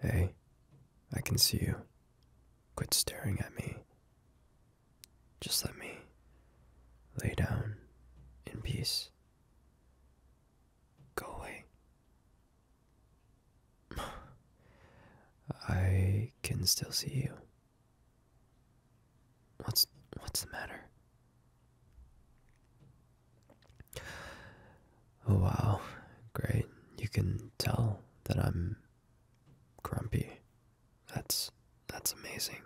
Hey, I can see you. Quit staring at me. Just let me lay down in peace. Go away. I can still see you. What's what's the matter? Oh, wow. Great. You can tell that I'm grumpy. That's that's amazing.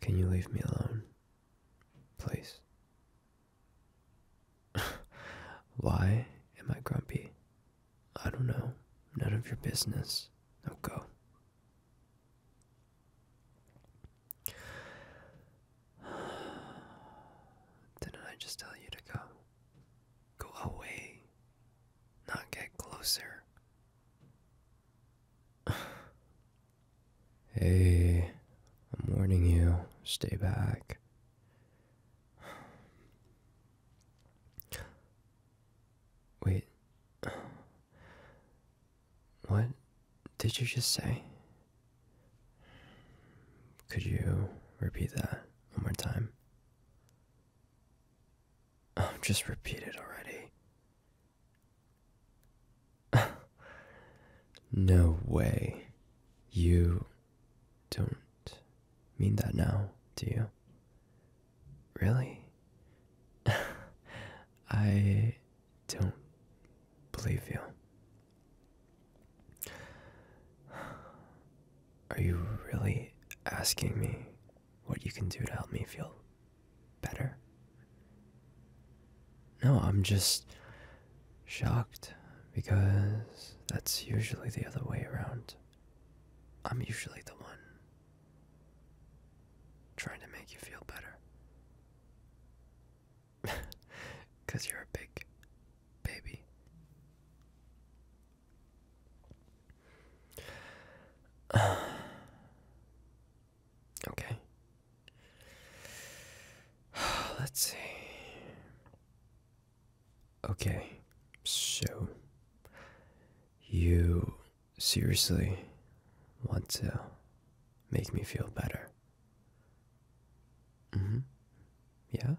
Can you leave me alone? Please. Why am I grumpy? I don't know. None of your business. Now go. Didn't I just tell you to go? Go away, not get closer. hey, I'm warning you, stay back. Wait, what did you just say? Could you repeat that one more time? Oh, just repeat it already. no way. You don't mean that now, do you? Really? I don't believe you. Are you really asking me what you can do to help me feel better? No, I'm just shocked because that's usually the other way around. I'm usually the one Trying to make you feel better. Because you're a big baby. okay. Let's see. Okay, so you seriously want to make me feel better. Mm hmm. Yeah?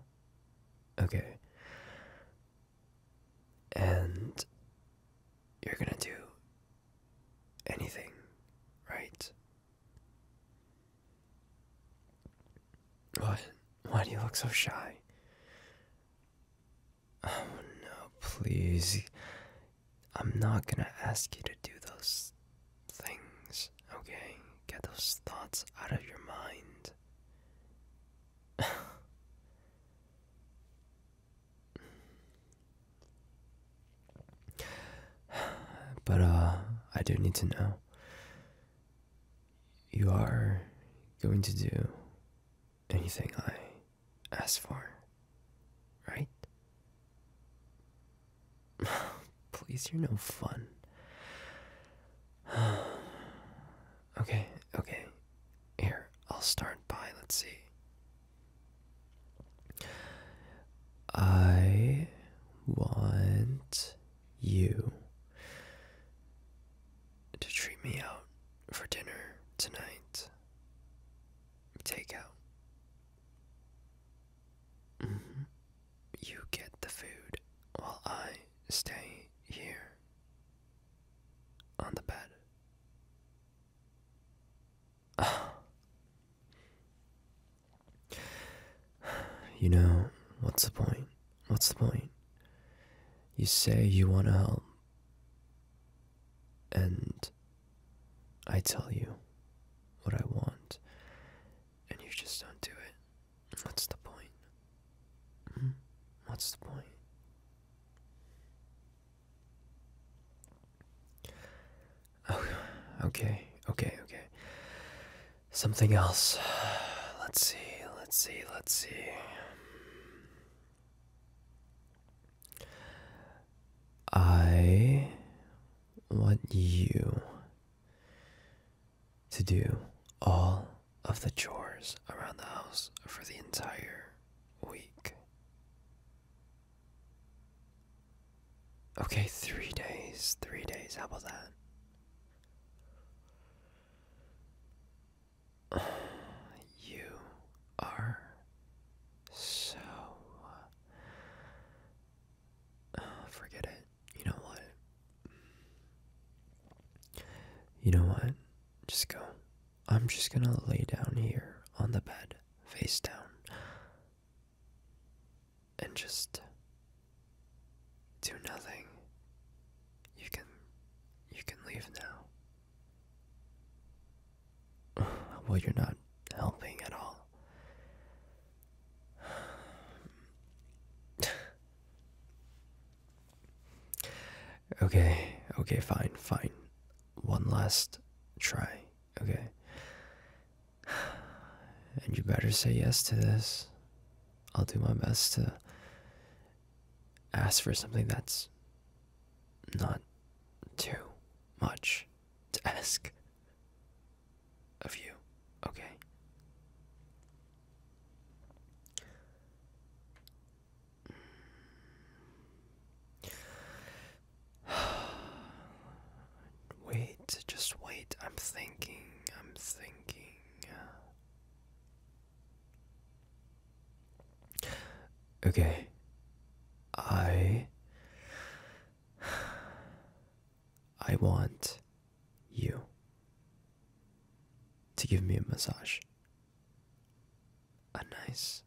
Okay. And you're gonna do anything, right? What? Why do you look so shy? Oh no, please. I'm not gonna ask you to do those things, okay? Get those thoughts out of your mind. but, uh, I do need to know. You are going to do anything I asked for, right? Please, you're no fun. okay, okay. Here, I'll start by, let's see. I want you to treat me out for dinner tonight takeout. Mm-hmm. You get the food while I stay here on the bed. you know, what's the point? What's the point? You say you want to help, and I tell you what I want, and you just don't do it. What's the point? Hmm? What's the point? Oh, okay, okay, okay. Something else. Let's see, let's see, let's see. I want you to do all of the chores around the house for the entire week. Okay, three days. Three days. How about that? You are so, uh, uh, forget it. You know what? You know what? Just go. I'm just gonna lay down here on the bed, face down, and just do nothing. You can, you can leave now. Well, you're not helping at all. okay, okay, fine, fine. One last try, okay? And you better say yes to this. I'll do my best to ask for something that's not too much to ask of you, okay? Wait, just wait. I'm thinking, I'm thinking. Uh, Okay. I I want you to give me a massage. A nice,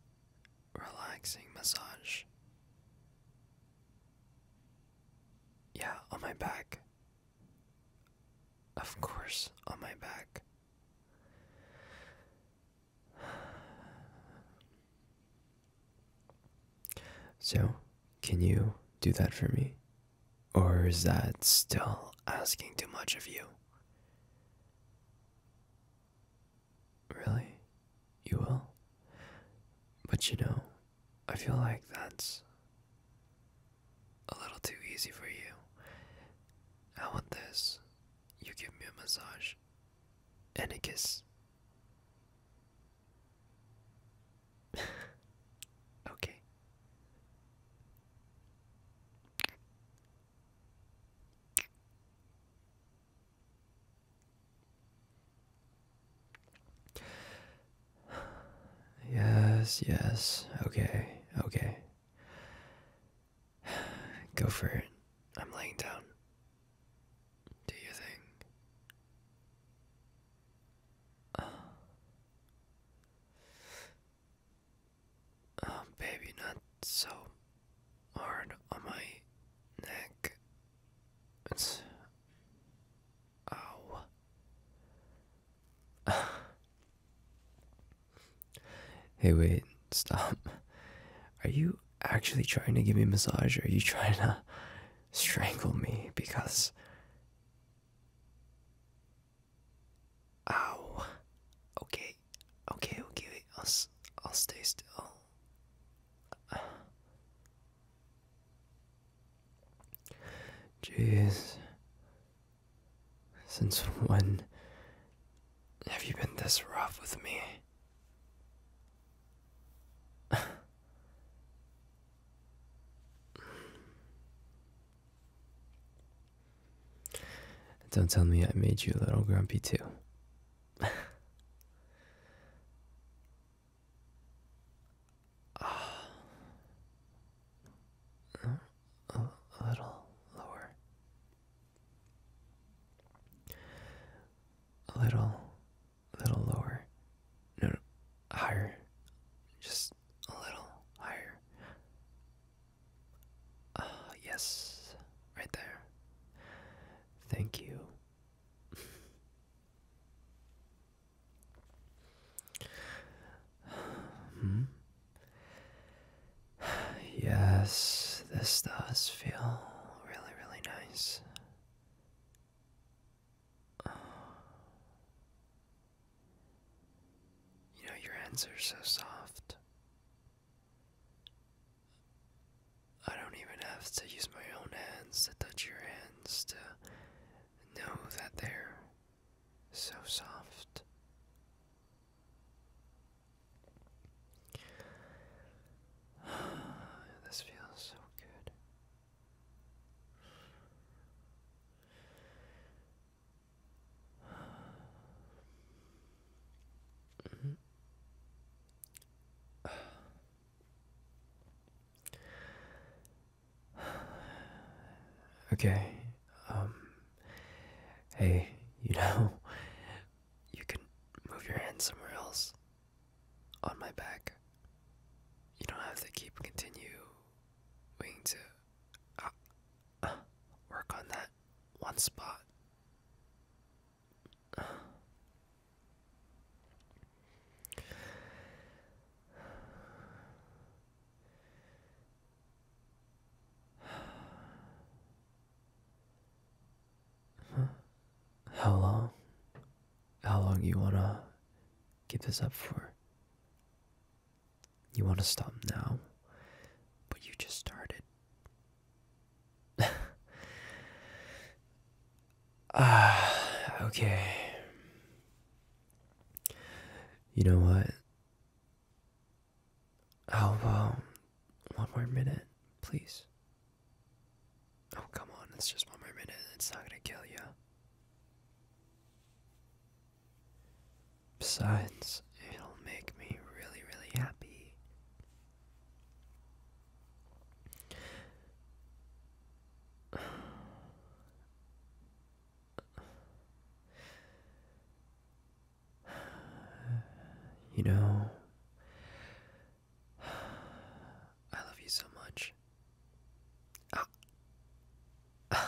relaxing massage. Yeah, on my back. Of course, on my back. So, can you do that for me? Or is that still asking too much of you? Really? You will? But you know, I feel like that's a little too easy for you. I want this? You give me a massage Enicus. okay. Yes, yes. Okay, okay. Go for it. I'm laying down. Do you think? oh, baby, not so hard on my neck. It's. Ow. hey, wait, stop. Are you actually trying to give me a massage or you trying to strangle me? Because. Ow. Okay. Okay, okay, wait. I'll, I'll stay still. Jeez. Since when have you been this rough with me? Don't tell me I made you a little grumpy too. A little lower a little, little lower, no, higher, just a little higher. Ah, yes, right there. Thank you. hmm? Yes, this does feel really, really nice. Uh, you know, your hands are so soft. I don't even have to use my own hands to touch your hands to know that they're so soft. this feels so good. okay, um, hey, you know, you can move your hand somewhere else on my back. You don't have to keep continuing to uh, uh, work on that one spot. How long? How long you wanna keep this up for? You wanna stop now? But you just started. Ah, okay. You know what? How about one more minute, please? Oh, come on, it's just one more minute, it's not gonna kill you. Besides, it'll make me really, really happy. You know, I love you so much. Oh.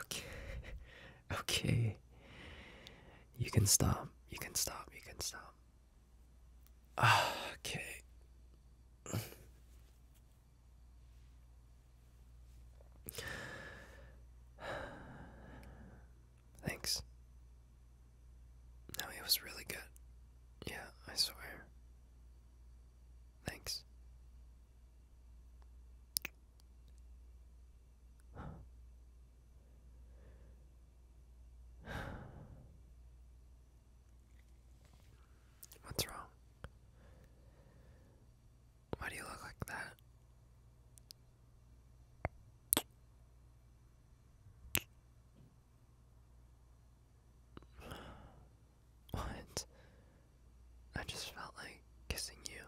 okay. Okay. You can stop. You can stop. You can stop. Okay. Thanks. No, it was really good. Yeah, I swear. Thanks. What's wrong? Why do you look like that? What? I just felt like kissing you.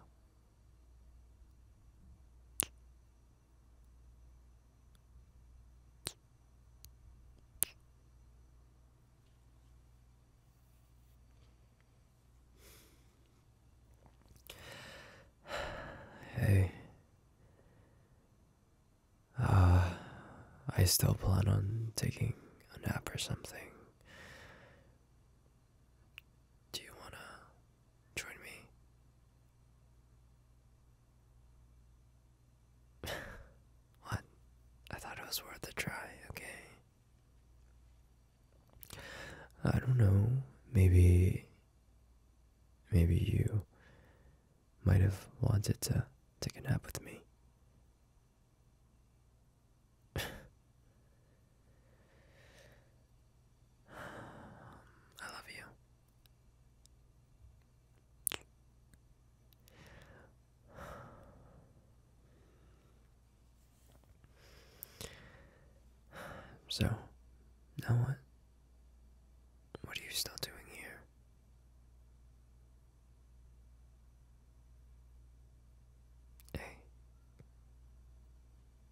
Hey, uh, I still plan on taking a nap or something. Do you want to join me? what? I thought it was worth a try, okay? I don't know. Maybe. Maybe you might have wanted to take a nap with me. I love you. So, now what? What are you still doing here? Hey.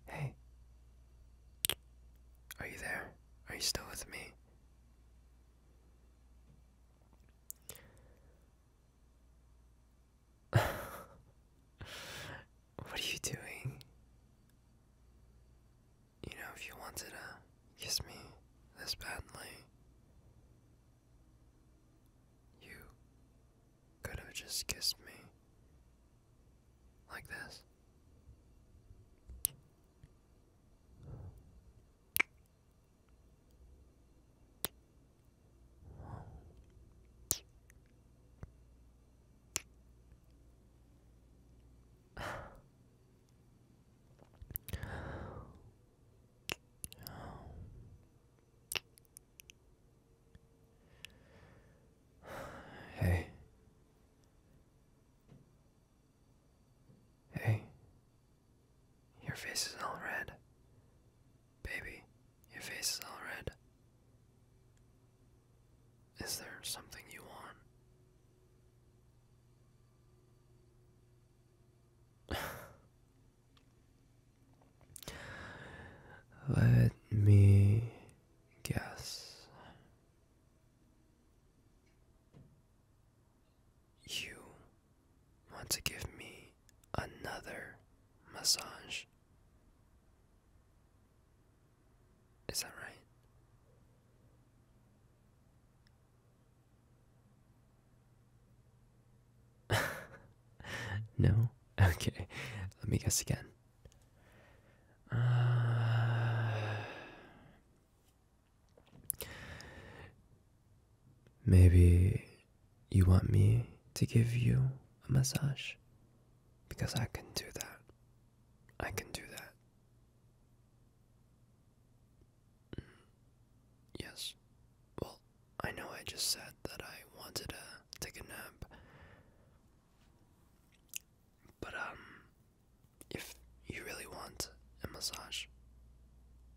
Hey. Are you there? Are you still with me? what are you doing? you know, if you wanted to kiss me this badly, you could have just kissed me like this. Hey. Hey. Your face is all red. Baby, your face is all red. Is there something you want? Let me guess. You want to give me another massage? Is that right? no? Okay, let me guess again. Uh, maybe you want me to give you a massage? Because I can do that. I can do that. Yes. Well, I know I just said that I wanted to take a nap. But, um, if you really want a massage,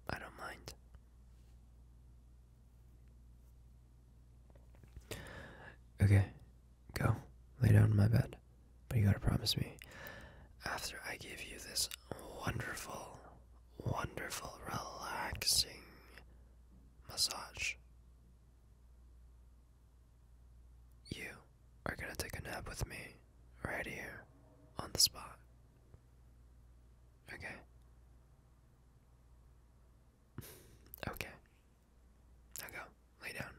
I don't mind. Okay, go. Lay down in my bed. But you gotta promise me, after I give you this wonderful, wonderful, relaxing massage, you are gonna take a nap with me right here on the spot. Okay? okay. Now go. Lay down.